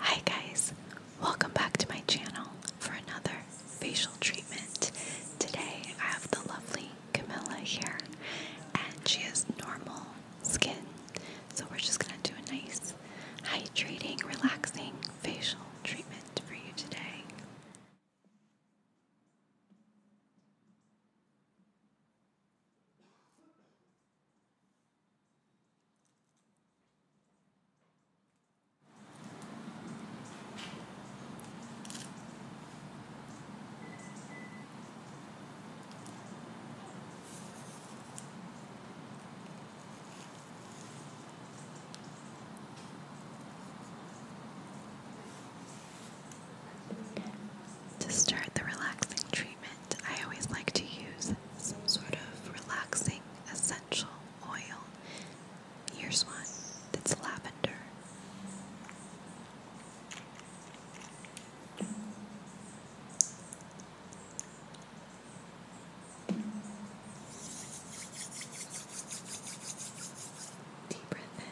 Hi guys, welcome back to my channel for another facial treatment. Today I have the lovely Camilla here and she has normal skin. So we're just going to do a nice hydrating, relaxing facial treatment for you today. To start the relaxing tree I always like to use some sort of relaxing essential oil. Here's one that's lavender. Deep breath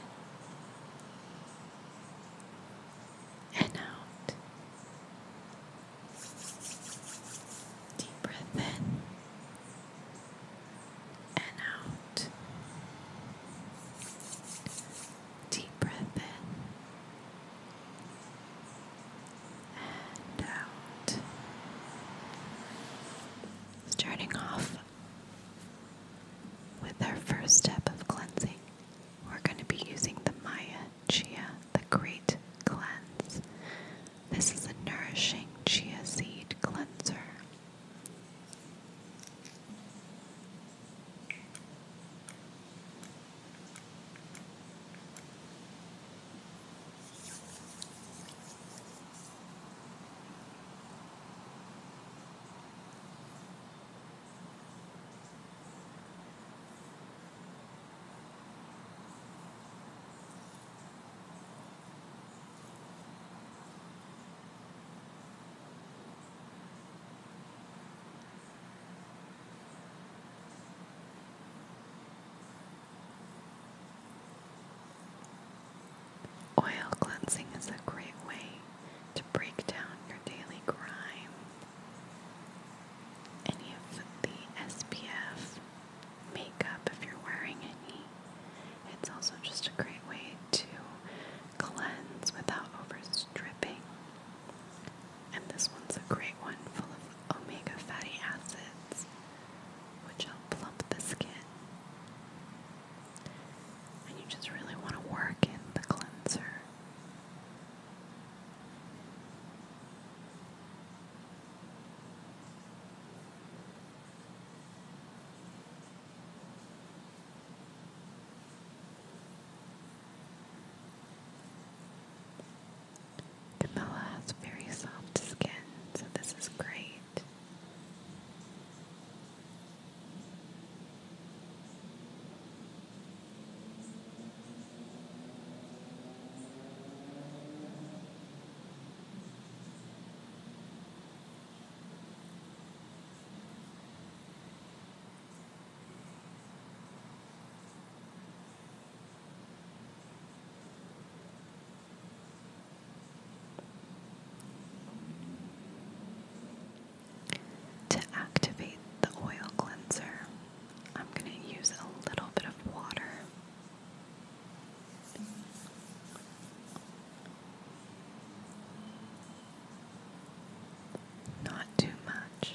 in and out. Deep breath in and out. Deep breath in and out. Starting off with our first step of cleansing, we're going to be using the Maya Chia the Great Cleanse. This is a nourishing chia seed cleanser. Oil cleansing is a great way to break down your daily grime any of the SPF makeup if you're wearing any. It's also just a great way to cleanse without overstripping. And this one's a great one full of omega fatty acids, which will plump the skin. And you just really want to work in the cleanser. Camilla has very soft skin, so this is great. To activate the oil cleanser, I'm going to use a little bit of water. Not too much.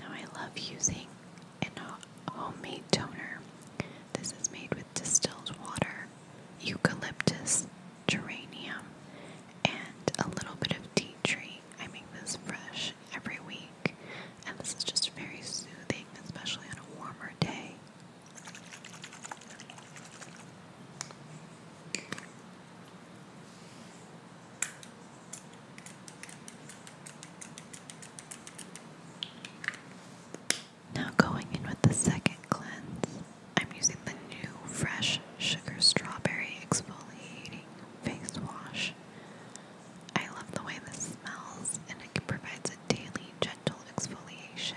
Now, I love using a homemade toner. This is made with distilled water eucalyptus, geranium, and a little bit of tea tree. I make this fresh every week, and this is just very soothing, especially on a warmer day. Now going in with the second cleanse, I'm using the new fresh sugar strawberry exfoliating face wash. I love the way this smells and it provides a daily gentle exfoliation.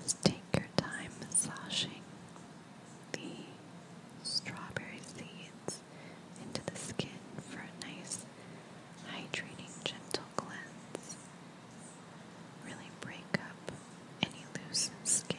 Just take your time massaging the strawberry seeds into the skin for a nice, hydrating, gentle cleanse. Really break up any loose skin.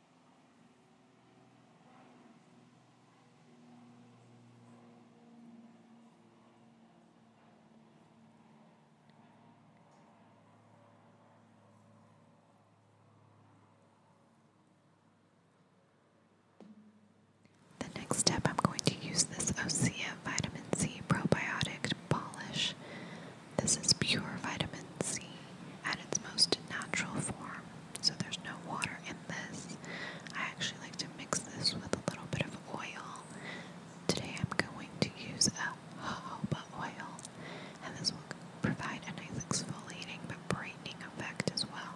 The next step, I'm going to use this OCF Vitamin C Probiotic Polish. This is pure vitamin C at its most natural form, so there's no water in this. I actually like to mix this with a little bit of oil. Today I'm going to use a jojoba oil, and this will provide a nice exfoliating but brightening effect as well.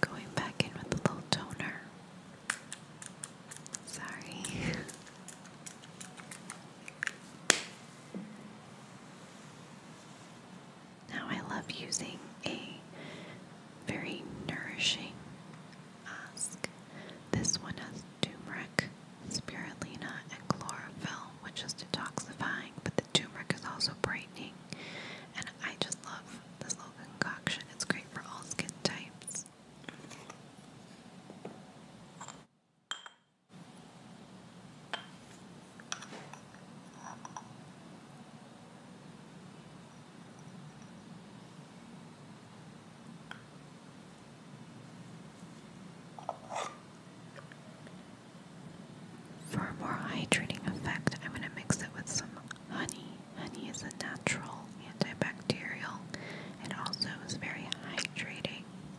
Going back in with a little toner. Sorry. Now, I love using a very nourishing mask. This one has turmeric, spirulina, and chlorophyll, which is detoxifying, but the turmeric is also brightening. And I just love this little concoction, it's great for all skin types. For a more hydrating effect, I'm going to mix it with some honey. Honey is a natural antibacterial. It also is very hydrating.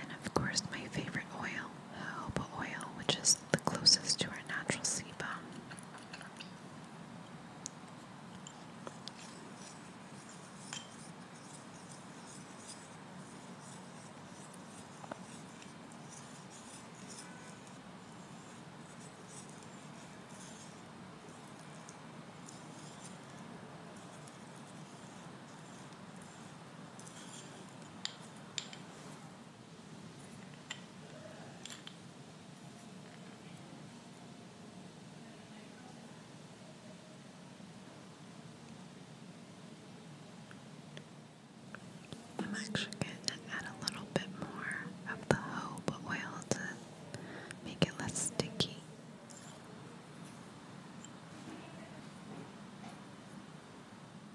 And of course, my favorite oil, jojoba oil, which is the closest to our natural sebum. I'm actually going to add a little bit more of the jojoba oil to make it less sticky.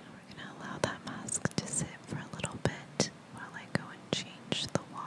We're going to allow that mask to sit for a little bit while I go and change the water.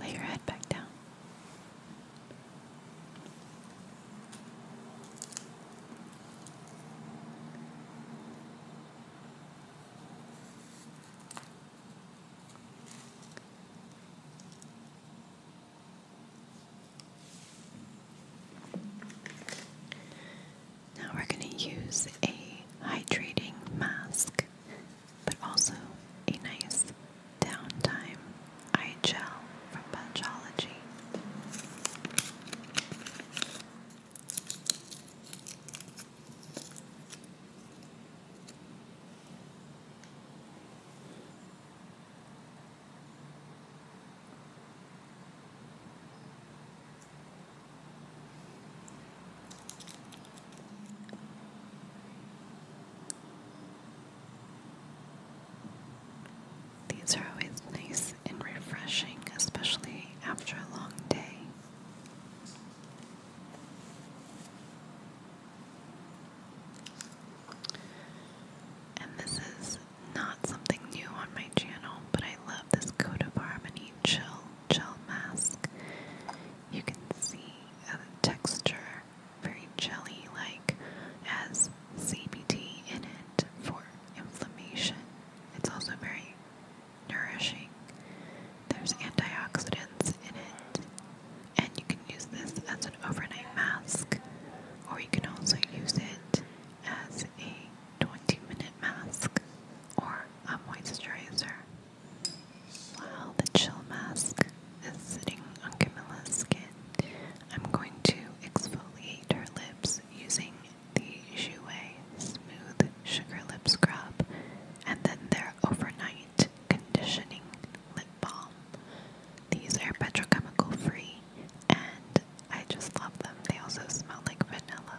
Lay your head back down. Now we're going to use a hydrating mask, but also a nice downtime eye gel from Punchology. These are always nice and refreshing, especially after a long day. And this is not something new on my channel, but I love this Code Harmony Chill Gel Mask. You can see the texture, very jelly like, has CBD in it for inflammation. It's also very nourishing. There's antioxidants in it. And you can use this as an overnight mask, or you can also use it as a 20 minute mask or a moisturizer. While the chill mask is sitting on Camilla's skin, I'm going to exfoliate her lips using the Jouer Smooth Sugar Lip Scrub, and then their Overnight Conditioning Lip Balm. These are petrochemical free, and I just love them. They also smell like vanilla.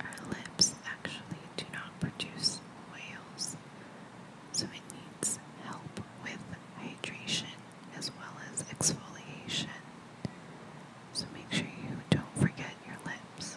Our lips actually do not produce oils, so it needs help with hydration as well as exfoliation. So make sure you don't forget your lips.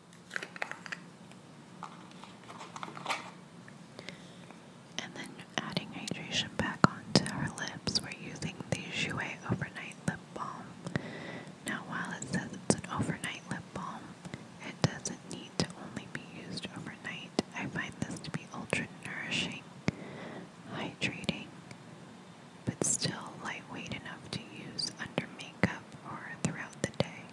And then adding hydration back onto her lips, we're using the Jouer Overnight Lip Balm. Now, while it says it's an overnight lip balm, it doesn't need to only be used overnight. I find this to be ultra nourishing, hydrating, but still lightweight enough to use under makeup or throughout the day.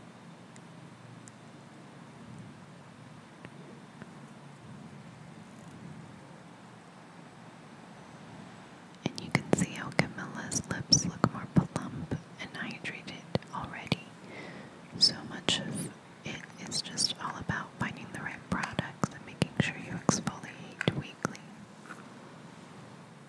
And you can see how Camilla's lips look more plump and hydrated already. So much of it is just all about finding the right products and making sure you exfoliate weekly.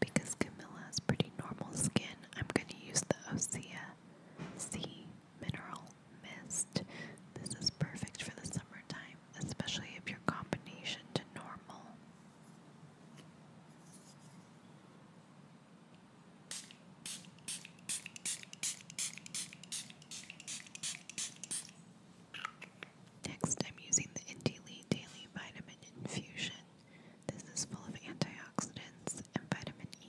because Camilla has pretty normal skin, I'm going to use the Osea Sea Mineral Mist. This is perfect for the summertime, especially if your combination to normal. Next, I'm using the Indie Daily Vitamin Infusion. This is full of antioxidants and vitamin E.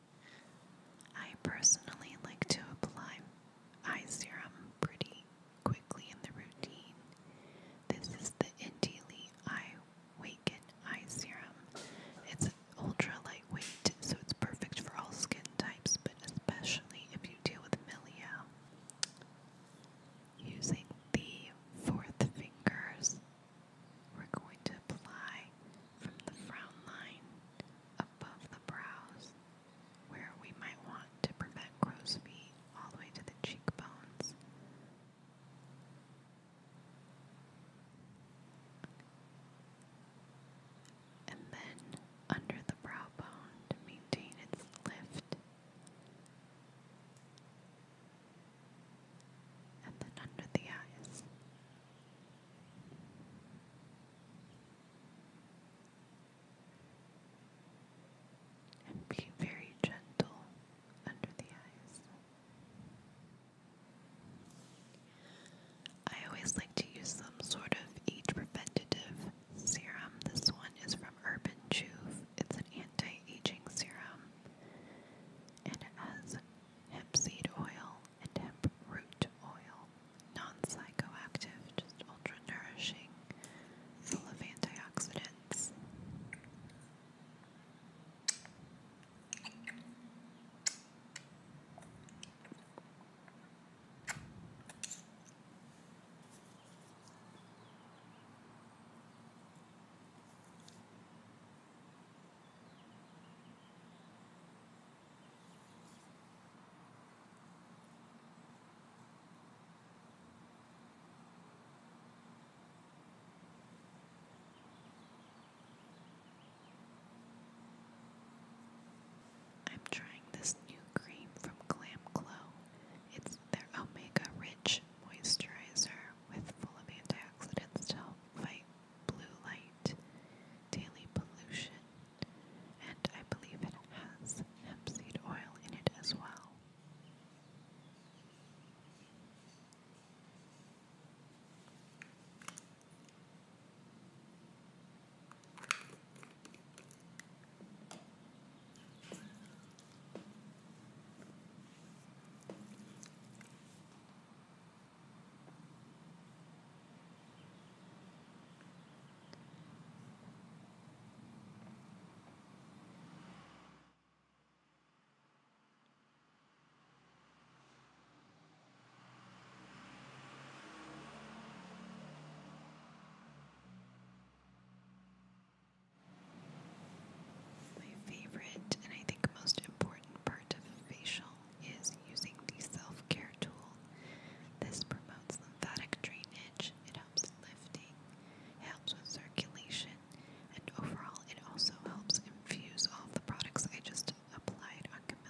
I personally like to apply eye serum pretty quickly in the routine. This is the Indili Eye Waken Eye Serum. It's ultra lightweight, so it's perfect for all skin types, but especially if you deal with milia. Using the fourth fingers, we're going to apply from the frown line above the brows, where we might want to prevent crow's feet all the way to the cheekbones. And then under the brow bone to maintain its lift. And then under the eyes. And be very gentle under the eyes. I always like to use some sort of age preventative serum. This one is from Urban Juve. It's an anti aging serum and it has hemp seed oil and hemp root oil. Non psychoactive, just ultra nourishing, full of antioxidants. I'm trying this new cream from Glam Glow. It's their omega rich moisturizer with full of antioxidants to help fight blue light, daily pollution, and I believe it has hemp seed oil in it as well. My favorite and I think most important part of facial is using the self care tool. This promotes lymphatic drainage, it helps lifting, helps with circulation, and overall, it also helps infuse all the products I just applied on Camilla.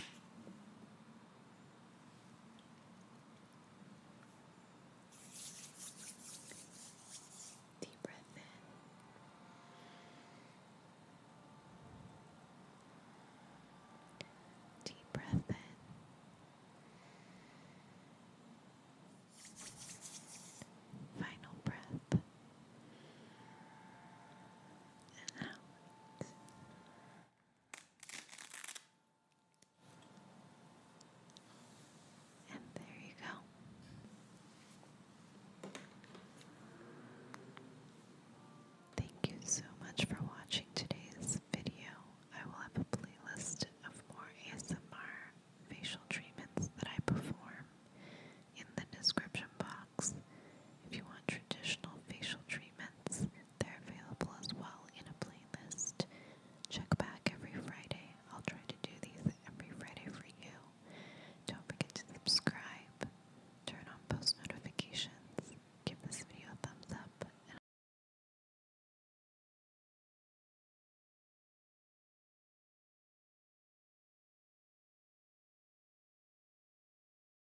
Deep breath in. Deep breath in. Final breath. And out. And there you go. Thank you so much for watching today's video. I will have a playlist of more ASMR facial treatments that I perform in the description box. If you want traditional facial treatments, they're available as well in a playlist. Check back every Friday. I'll try to do these every Friday for you. Don't forget to subscribe, turn on post notifications, give this video a thumbs up,